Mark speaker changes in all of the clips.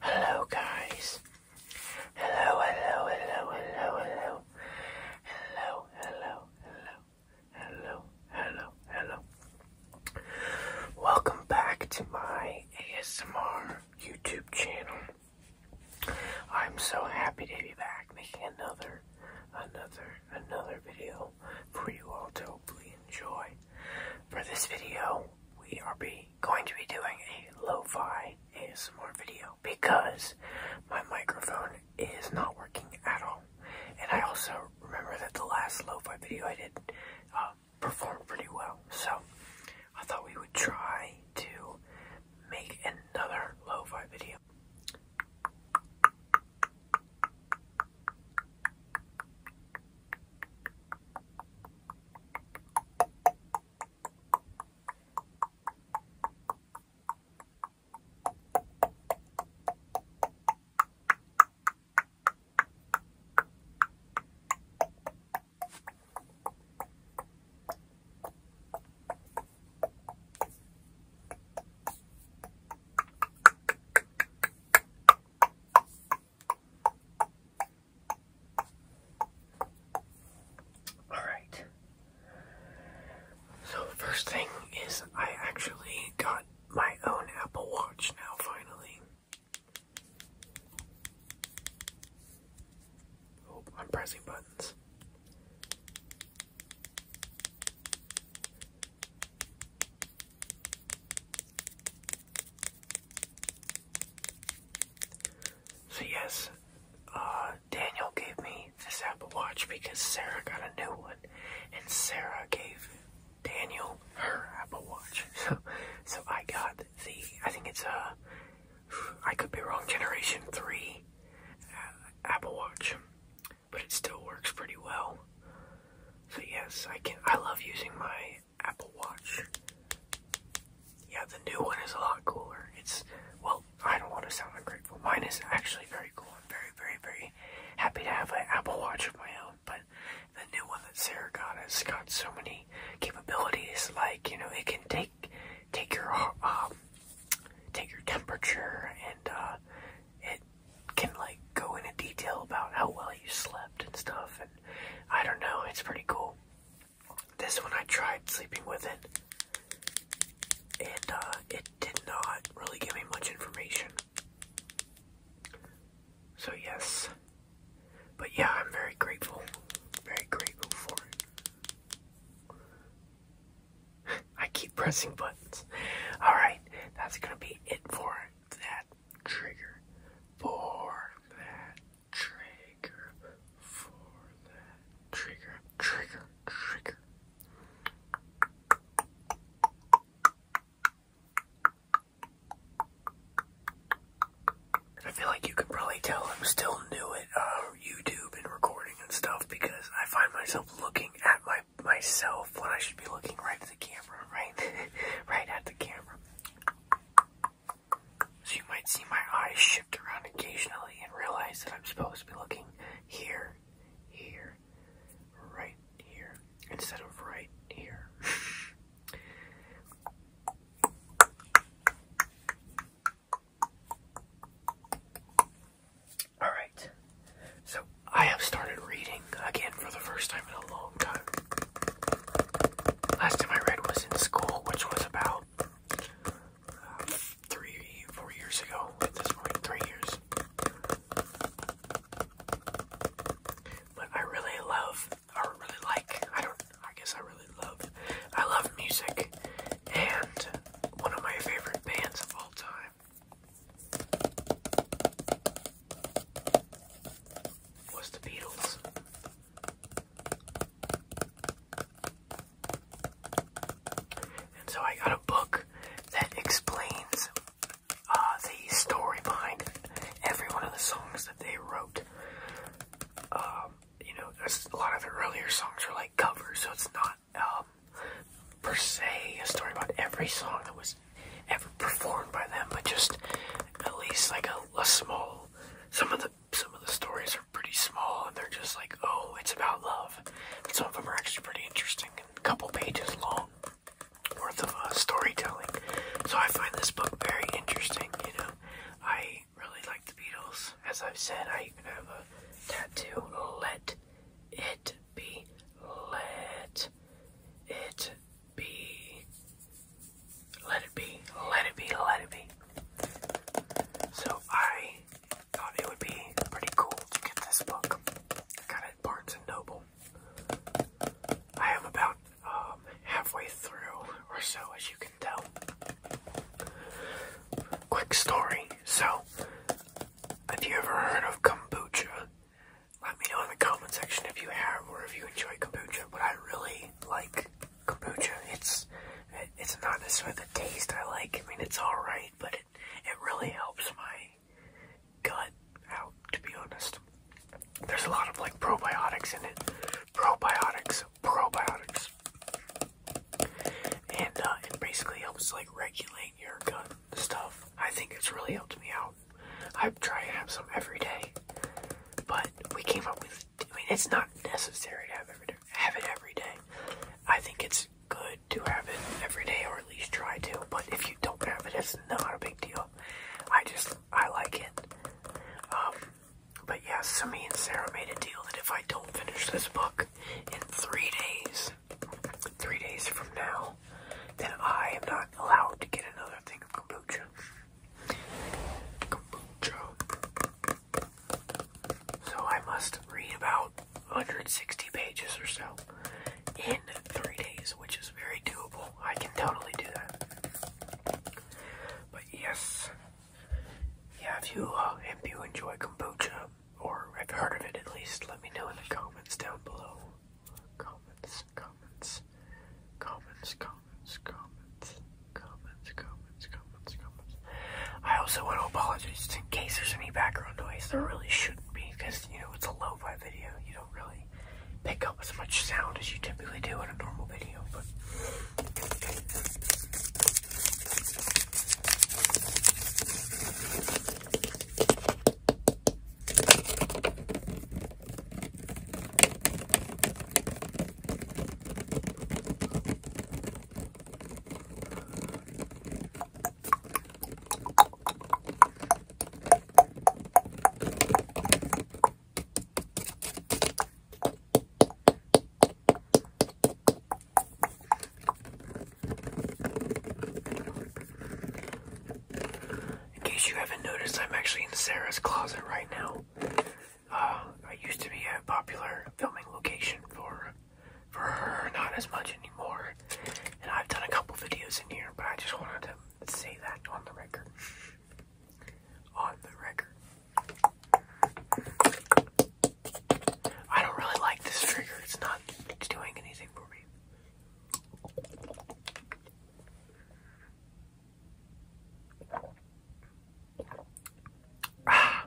Speaker 1: Hello, guys. Hello, hello, hello, hello, hello. Hello, hello, hello, hello, hello, Welcome back to my ASMR YouTube channel. I'm so happy to be back making another, another, another video for you all to hopefully enjoy. For this video, we are be going to be doing a lo-fi ASMR video because my microphone is not working at all. And I also remember that the last lo-fi video I did, uh, performed pretty well. So I thought we would try to make another lo-fi video. All right. So first thing is I actually got my own Apple Watch now finally. Oh, I'm pressing buttons. So yes, uh, Daniel gave me this Apple Watch because Sarah got a new one, and Sarah gave Daniel her Apple Watch. So, so I got the I think it's a I could be wrong Generation Three uh, Apple Watch, but it still works pretty well. So yes, I can. I love using my Apple Watch. Yeah, the new one is a lot cooler. It's well, I don't want to sound ungrateful. Mine is actually very cool. I'm very, very, very happy to have an Apple Watch of my own. But the new one that Sarah got has got so many capabilities, like you know, it can take take your um, take your temperature, and uh, it can like go into detail about how well you slept and stuff. And I don't know, it's pretty cool. This one I tried sleeping with it, and uh, it did not really give me much information. So, yes. But yeah, I'm very grateful. Very grateful for it. I keep pressing buttons. Alright, that's gonna be it for that trigger. For that trigger. For that trigger. Trigger. Trigger. I feel like you can probably tell I'm still new at uh, YouTube and recording and stuff because I find myself looking at my myself when I should be looking right at the camera, right? right at the camera. So you might see my eyes shift around occasionally and realize that I'm supposed to be looking here, here, right here, instead of right here. All right, so I have started reading again for the first time in a long time. Last time I read was in school, which was about uh, three, four years ago at this point, three years. But I really love, or really like, I don't, I guess I really love, I love music, and one of my favorite bands of all time was the Beatles. And so I got a book that explains uh, the story behind every one of the songs that they wrote. Um, you know, a lot of the earlier songs are like covers, so it's not um, per se a story about every song that was ever performed by them, but just at least like a, small. Some of the some of the stories are pretty small, and they're just like, oh, it's about love. some of them are actually pretty interesting and a couple pages long worth of uh, storytelling. So I find this book very interesting, you know. I really like the Beatles. As I've said, I have a tattoo. Let it be. Let it be. Let it be. Let it be. Let it be. So I thought it would be pretty cool to get this book. I got at Barnes and Noble. I am about um, halfway through or so, as you can tell. Quick story. So, have you ever heard of kombucha? Let me know in the comment section if you have or if you enjoy kombucha. But I really like kombucha. It's it's not necessarily the taste I like. I mean, it's all right, but it it really helps my gut out, to be honest. There's a lot of like probiotics in it. Probiotics, probiotics. And uh, it basically helps like regulate your gut stuff. I think it's really helped me out. I try to have some every day, but we came up with. I mean, it's not necessary to have every day, have it every day. I think it's good do have it every day or at least try to, but if you don't have it, it's not a big deal. I just, I like it. Um, but yeah, so me and Sarah made a deal that if I don't finish this book in three days, three days from now, then I am not allowed to get another thing of Kombucha. So I must read about 160 pages or so in three days, which is very doable. I can totally do that. But yes, yeah, if you uh, if you enjoy kombucha or have heard of it at least, let me know in the comments down below. Comments, comments, comments, comments, comments, comments, comments, comments, comments. I also want to apologize in case there's any background noise. There really shouldn't because you know it's a lo-fi video. You don't really pick up as much sound as you typically do in a normal video. In case you haven't noticed, I'm actually in Sarah's closet right now. Uh, I used to be a popular filming location for for her, not as much anymore. And I've done a couple videos in here, but I just wanted to say that on the record. On the record. I don't really like this trigger. It's not doing anything for me. Ah.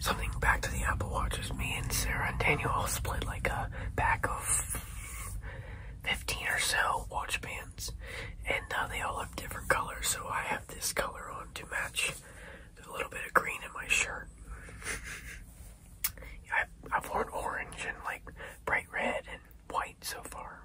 Speaker 1: Something back to the Apple Watches. me and Sarah and Daniel all split like a pack of 15 or so watch bands and now uh, they all have different colors. So I have this color on to match a little bit of green in my shirt. I've worn orange and like bright red and white so far.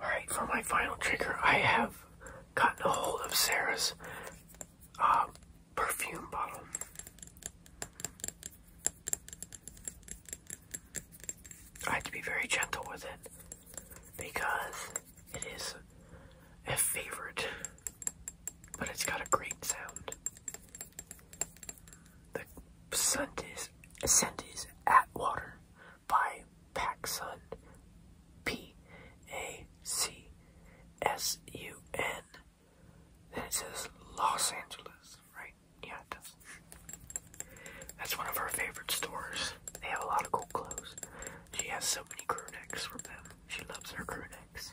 Speaker 1: Alright, for my final trigger, I have gotten a hold of Sarah's uh, perfume bottle. I have to be very gentle with it because it is a favorite, but it's got a great sound. The Sundays, Sundays Atwater by Pacsun, P A C S U N. Then it says Los Angeles, right? Yeah, it does. That's one of her favorite stores. They have a lot of cool clothes. She has so many crew necks from them. She loves her crew necks.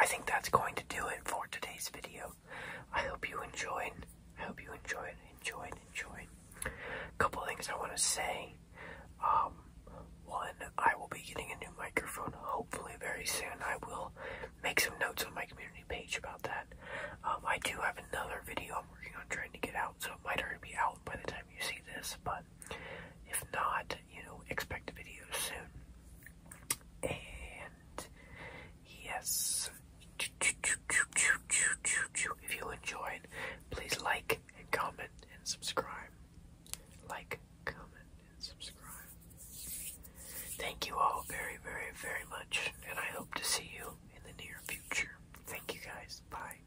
Speaker 1: I think that's going to do it for today's video. I hope you enjoyed. I hope you enjoy. enjoyed, Enjoy. A couple things I want to say. Um, one, I will be getting a new microphone hopefully very soon. I will make some notes on my community page about that. Um, I do have another video I'm working on trying to get out, so it might already be out by the time you see this, but if not, you know, expect a video soon. And yes, if you enjoyed, please like and comment and subscribe. Like, comment, and subscribe. Thank you all very, very, very much, and I hope to see you in the near future. Thank you guys. Bye.